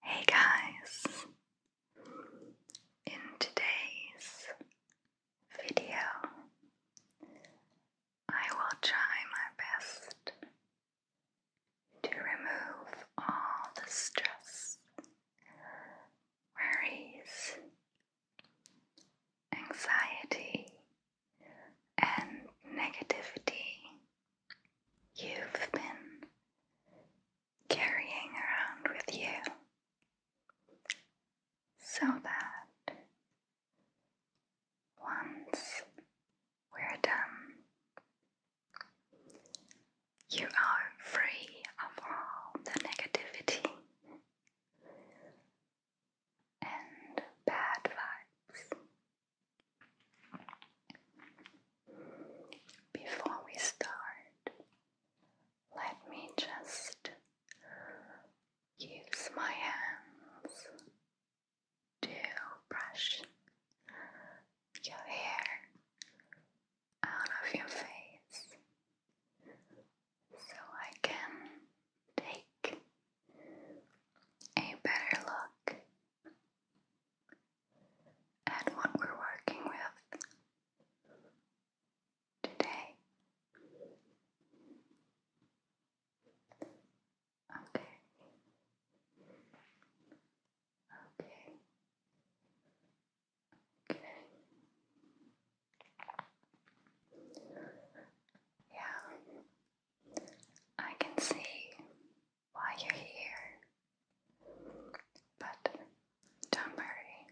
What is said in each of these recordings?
Hey guys! In today's video, I will try my best to remove all the stress, worries, anxiety, and negativity you've been carrying around with you so that once we're done, you are free of all the negativity and bad vibes. Before we start, let me just use my hands to brush your hair out of your face so I can take a better look and what we're working with today. Okay. Okay. Okay. Yeah. I can see why you're here. But don't worry,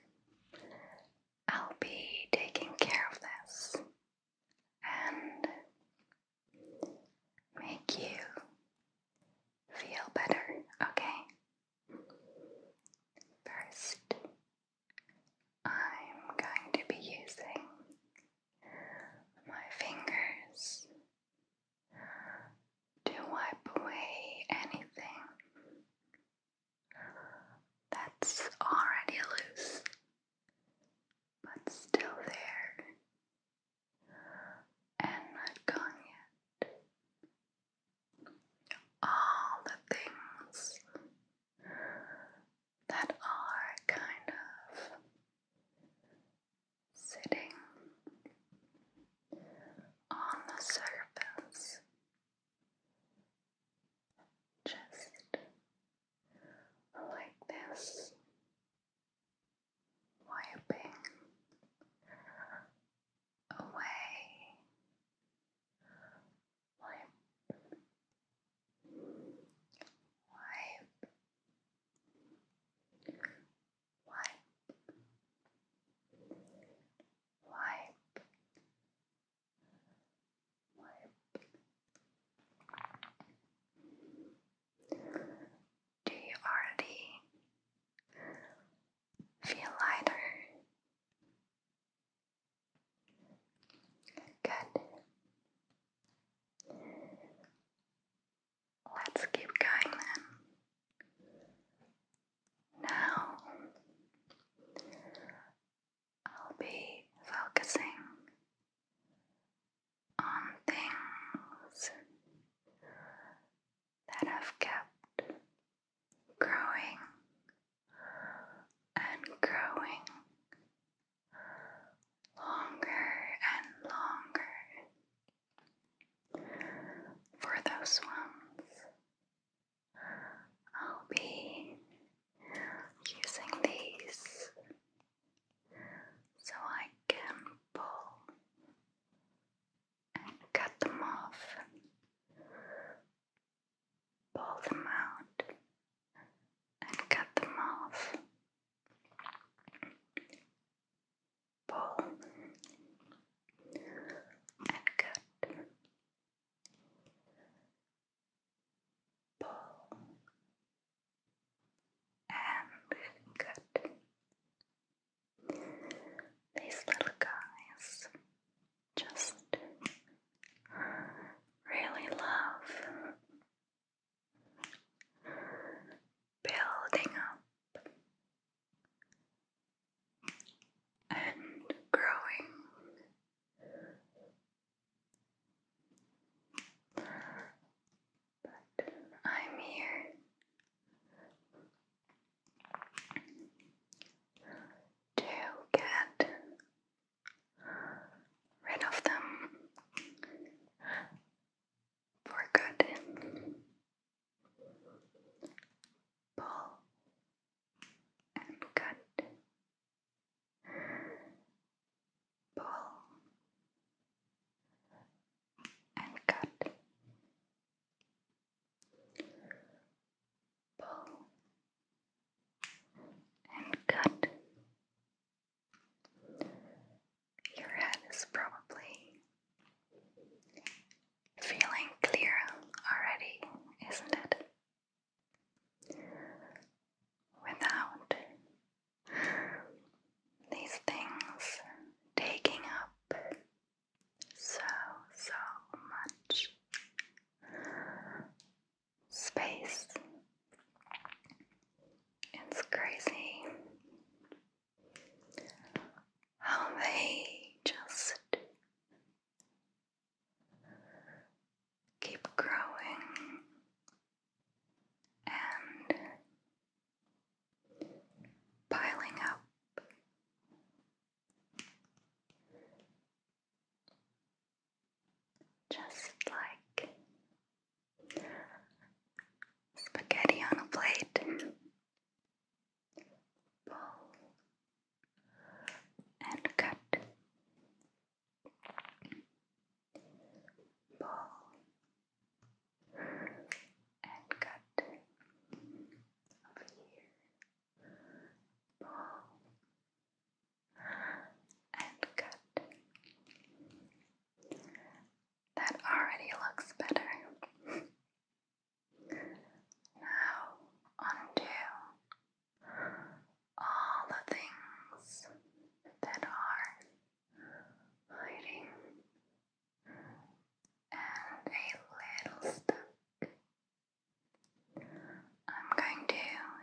I'll be taking care of this and make you feel better, okay? First, I'm going to be using my fingers to wipe away anything that's already loose but still there and not gone yet. All the things that are kind of sitting on the surface, just like this, wiping away, wipe, wipe wipe, wipe, wipe. Do you already feel lighter? Good. Let's keep going then. Now I'll be focusing on things that have kept growing and growing longer and longer for those ones, I'll be using these so I can pull and cut them off, pull them out and cut them off pull and cut, pull and cut. These little guys just really love building up and growing. But I'm here to get rid of them for good. Pull and cut. Pull and cut. Pull and cut. Your head is probably Feeling clear already, isn't it? Without these things taking up so, so much space. It's crazy how they just keep growing and piling up. Just like spaghetti on a plate pull and cut, pull and cut over here, pull and cut. That already looks better. Now undo all the things that are hiding and a little stuck. I'm going to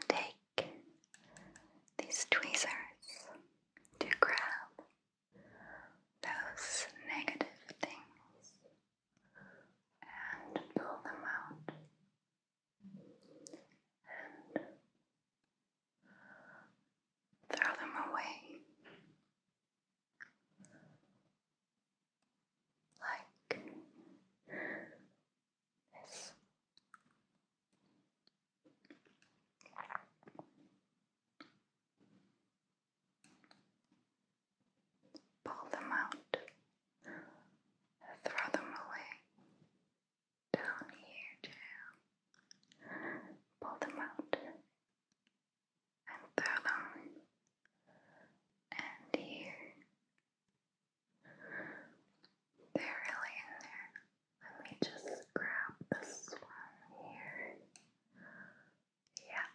take these tweezers to grab those negative things and pull them out and throw them away like this. Pull them out, throw them away. Down here, Pull them out and throw them. And here, they're really in there. Let me just grab this one here. Yeah.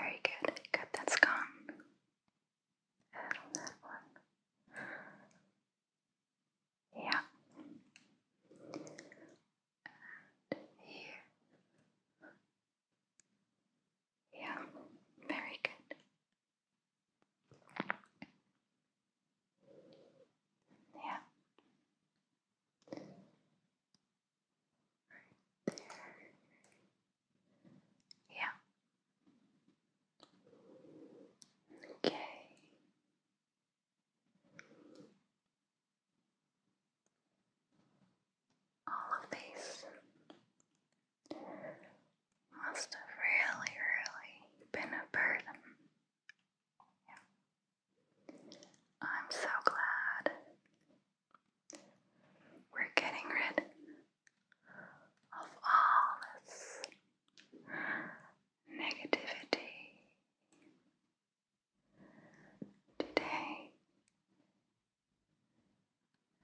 Very good. Good, that's gone. Yeah. here. Yeah, very good. Yeah. Yeah. Okay. All of these must have really, really been a burden. Yeah. I'm so glad we're getting rid of all this negativity. Today,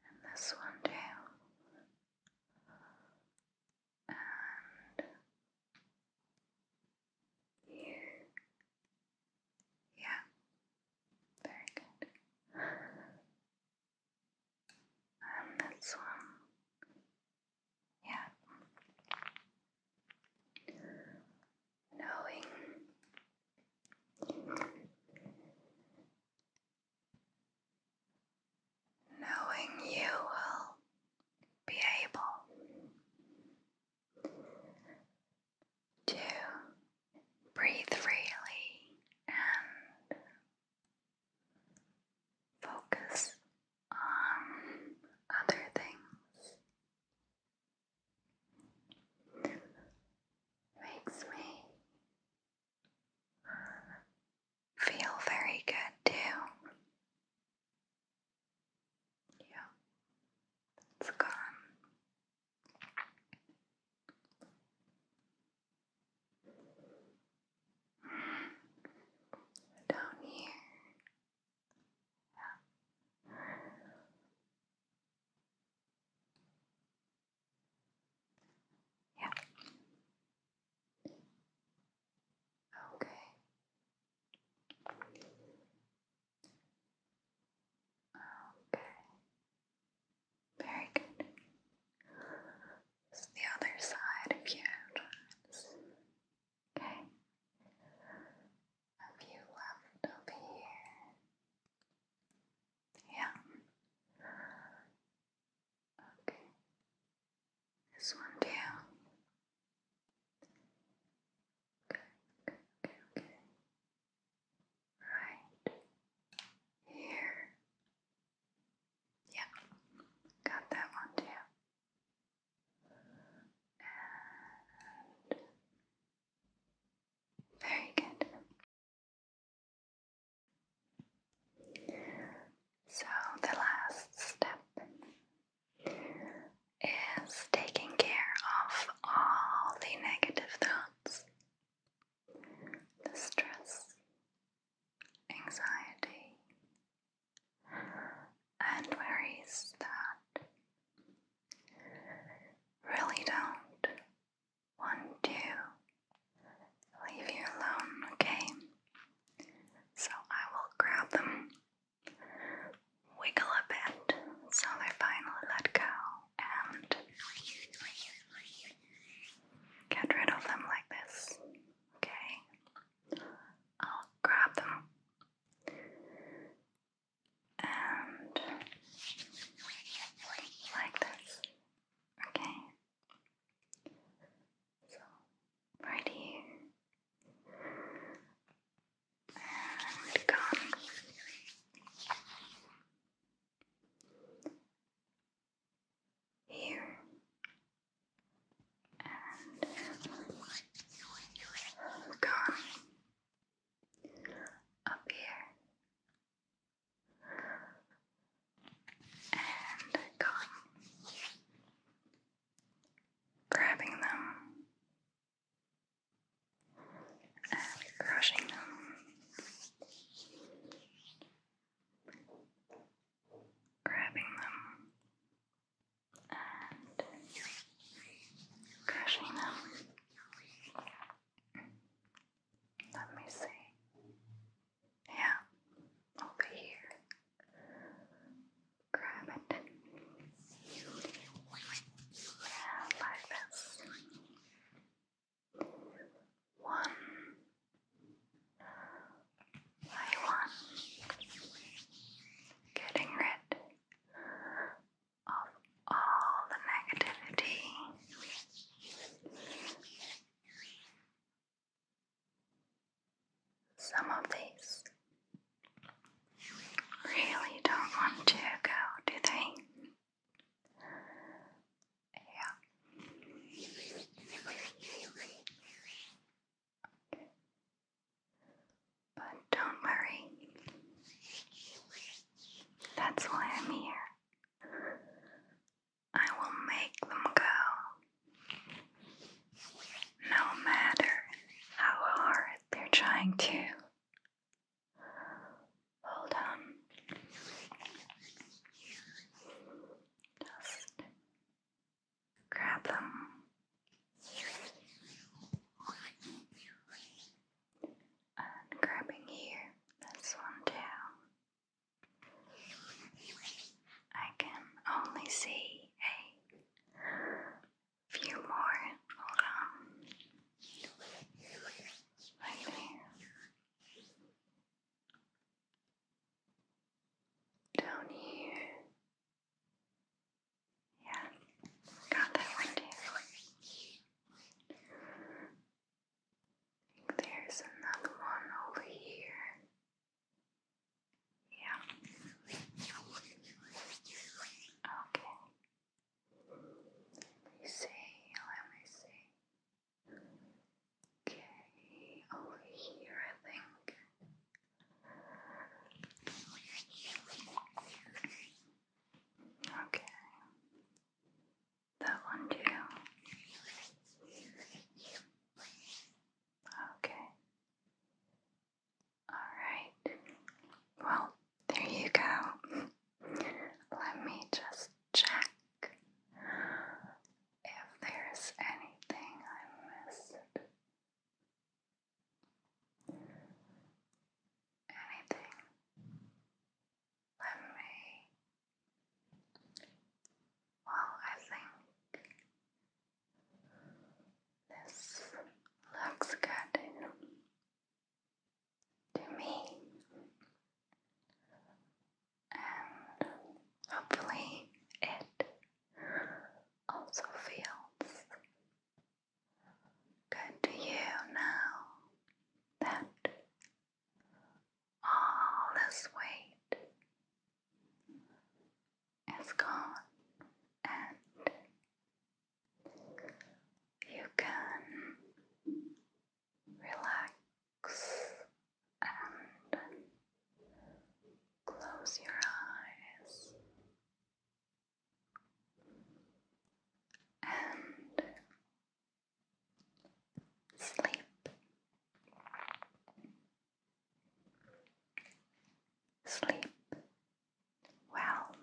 and this one and you yeah, very good. And um, this one, yeah. Knowing knowing you will be able to breathe freely and focus on other things makes me feel very good too. Yeah, it's gone. Down here. Yeah. Okay. Okay. Very good. This the other side of your Okay. Have you left over here? Yeah. Okay. This one down. Okay, okay, okay, okay right here. Yeah, got that one too. very good. So, the last step is taking care of all the negative thoughts the stress, anxiety, and worries that really don't want to leave you alone, okay? So I will grab them, wiggle a bit so they finally let go and get rid of them like this. Okay, I'll grab them and like this. Okay, so right here and gum. Here and gone up here and gone, grabbing them and brushing them, grabbing them, and crushing them. Let me see. Yeah, over here. Grab it. Yeah, like this one by one, getting rid of all the negativity. Some of these really don't want to go, do they? Yeah. But don't worry. That's why I'm here. I will make them go. No matter how hard they're trying to. Hold on. Just grab them. And grabbing here, this one too. I can only see a few more. Hold right there. Down here. Yeah, got that one too. there's another one over here. Yeah. Okay. Let me see, let me see. Okay, over here, I think. Okay, that one too. Okay. All right. Well, there you go. Let me just check if there's anything I missed. Anything? Let me. Well, I think this looks good to me, and hopefully, it also feels good to you now that all this weight is gone and you can relax and close your eyes and sleep. Sleep well.